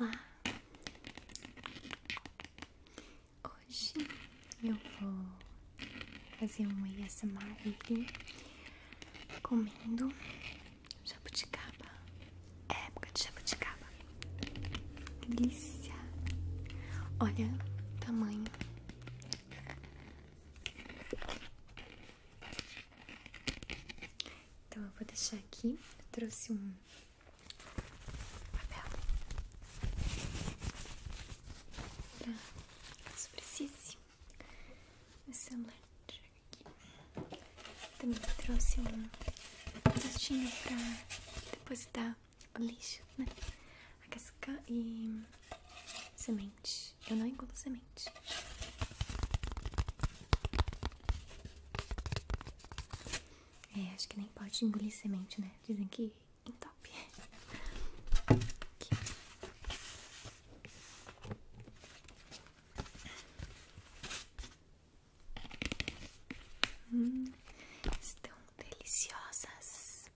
Olá! Hoje eu vou fazer um ASMR aqui comendo jabuticaba. época de jabuticaba. Delícia! Olha o tamanho. Então eu vou deixar aqui. Eu trouxe um papel pra caso precise. Meu celular aqui. Também trouxe um postinho pra depositar o lixo, né? A casca e semente. Eu não engulo semente. É, acho que nem pode engolir semente, né? Dizem que em top. Hum, estão deliciosas.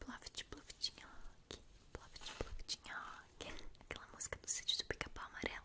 Pluft, pluftinha rock, pluft, aquela música do sítio do pica-pau amarelo.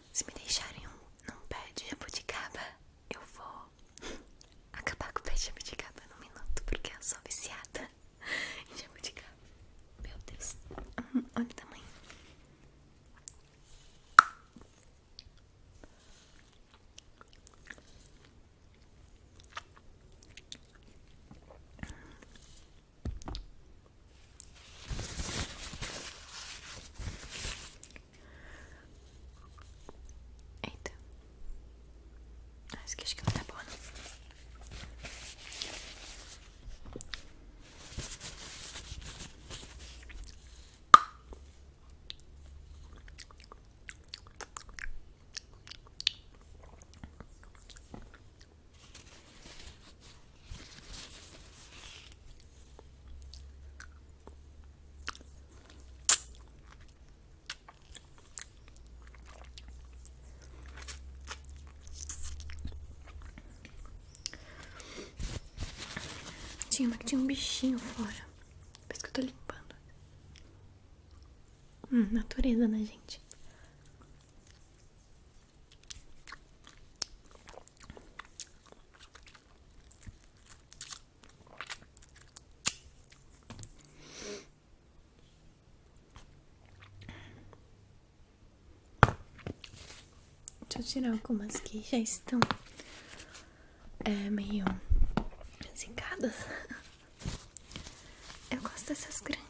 Se me deixarem um, num pé de jabuticaba, eu vou acabar com o pé de jabuticaba num minuto, porque eu sou viciada em jabuticaba. Meu Deus, uhum, olha o tamanho. Eita. Ah, isso aqui acho que não tá boa, tinha uma que tinha um bichinho fora. Por isso que eu tô limpando. Hum, natureza, né, gente? Deixa eu tirar algumas que já estão é, meio zincadas. Eu gosto dessas grandes.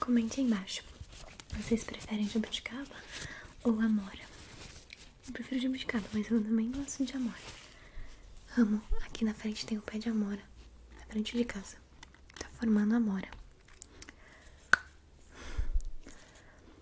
Comente embaixo. Vocês preferem jabuticaba ou amora? Eu prefiro jabuticaba, mas eu também gosto de amora. Amo. Aqui na frente tem o pé de amora. Na frente de casa. Tá formando amora.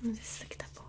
Vamos ver se isso aqui tá boa.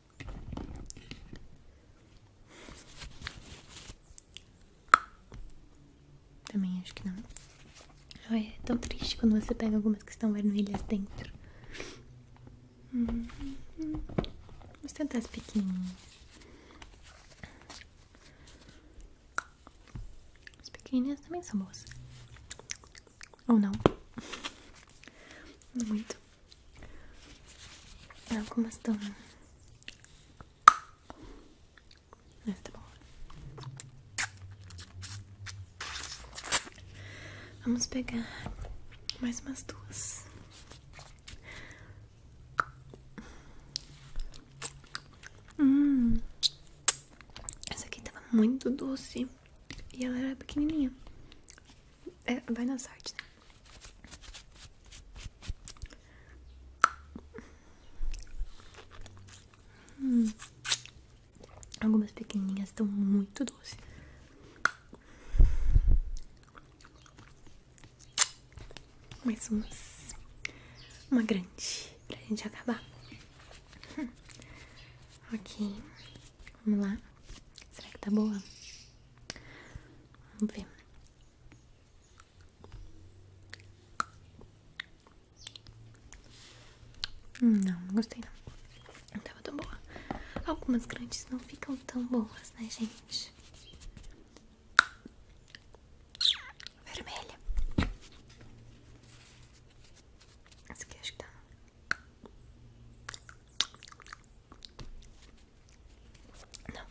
Também acho que não. é tão triste quando você pega algumas que estão vermelhas dentro. Uhum. Vamos tentar as pequenininhas. As pequenininhas também são boas. Ou não? Muito. Ah, como estão. Ah, tá Vamos pegar mais umas duas. Hum, essa aqui tava muito doce. E ela era pequenininha. É, vai na sorte, né? Hum. Algumas pequenininhas estão muito doces. Mais umas. Uma grande pra gente acabar. Hum. Ok. Vamos lá. Será que tá boa? Vamos ver. Hum, não, não gostei não. Não tava tão boa. Algumas grandes não ficam tão boas, né, gente? Vermelha. Essa aqui acho que tá. Não.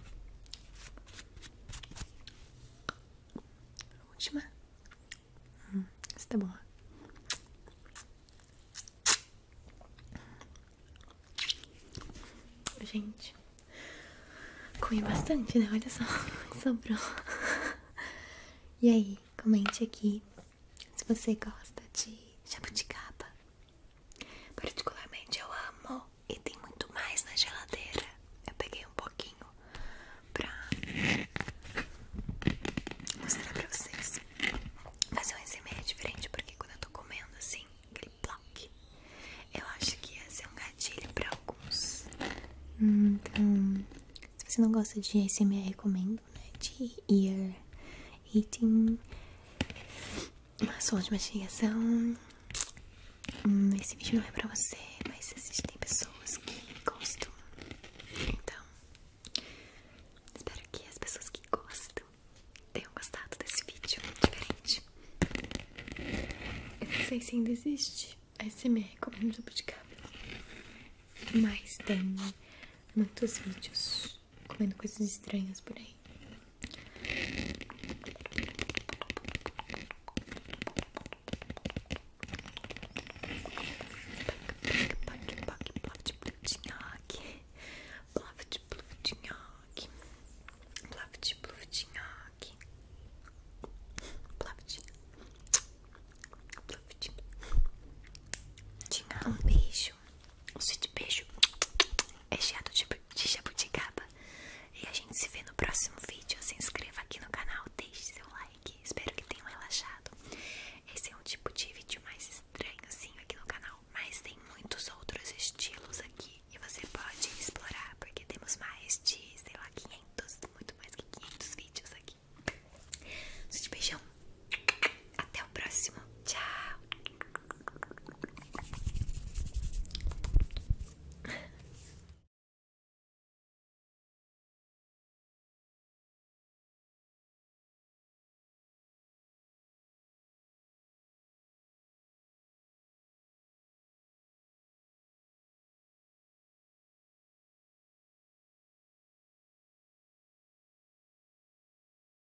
última. Hum, essa tá boa. Gente, comi bastante, né? Olha só que sobrou. E aí, comente aqui se você gosta de jabuticaba, particularmente eu amo e tem muito mais na geladeira. Eu peguei um pouquinho pra mostrar pra vocês. Fazer um SMA é diferente porque quando eu tô comendo assim, aquele block, eu acho que ia ser um gatilho pra alguns. Então, se você não gosta de ASMR, recomendo, né? De ear eating, assuntos de mastigação. Hum, esse vídeo não é pra você, mas existem pessoas que gostam. Então, espero que as pessoas que gostam tenham gostado desse vídeo diferente. Eu não sei se ainda existe ASMR de jabuticaba, mas tem muitos vídeos comendo coisas estranhas por aí. Um beijo um sítio beijo é cheio de, de jabuticaba. E a gente se vê no próximo vídeo. Se inscreva aqui no canal, deixe seu like. Espero que tenham relaxado. Esse é um tipo de vídeo mais estranhozinho aqui no canal. Mas tem muitos outros estilos aqui. E você pode explorar, porque temos mais de, sei lá, 500, muito mais que 500 vídeos aqui. Um beijão. Até o próximo. Tchau.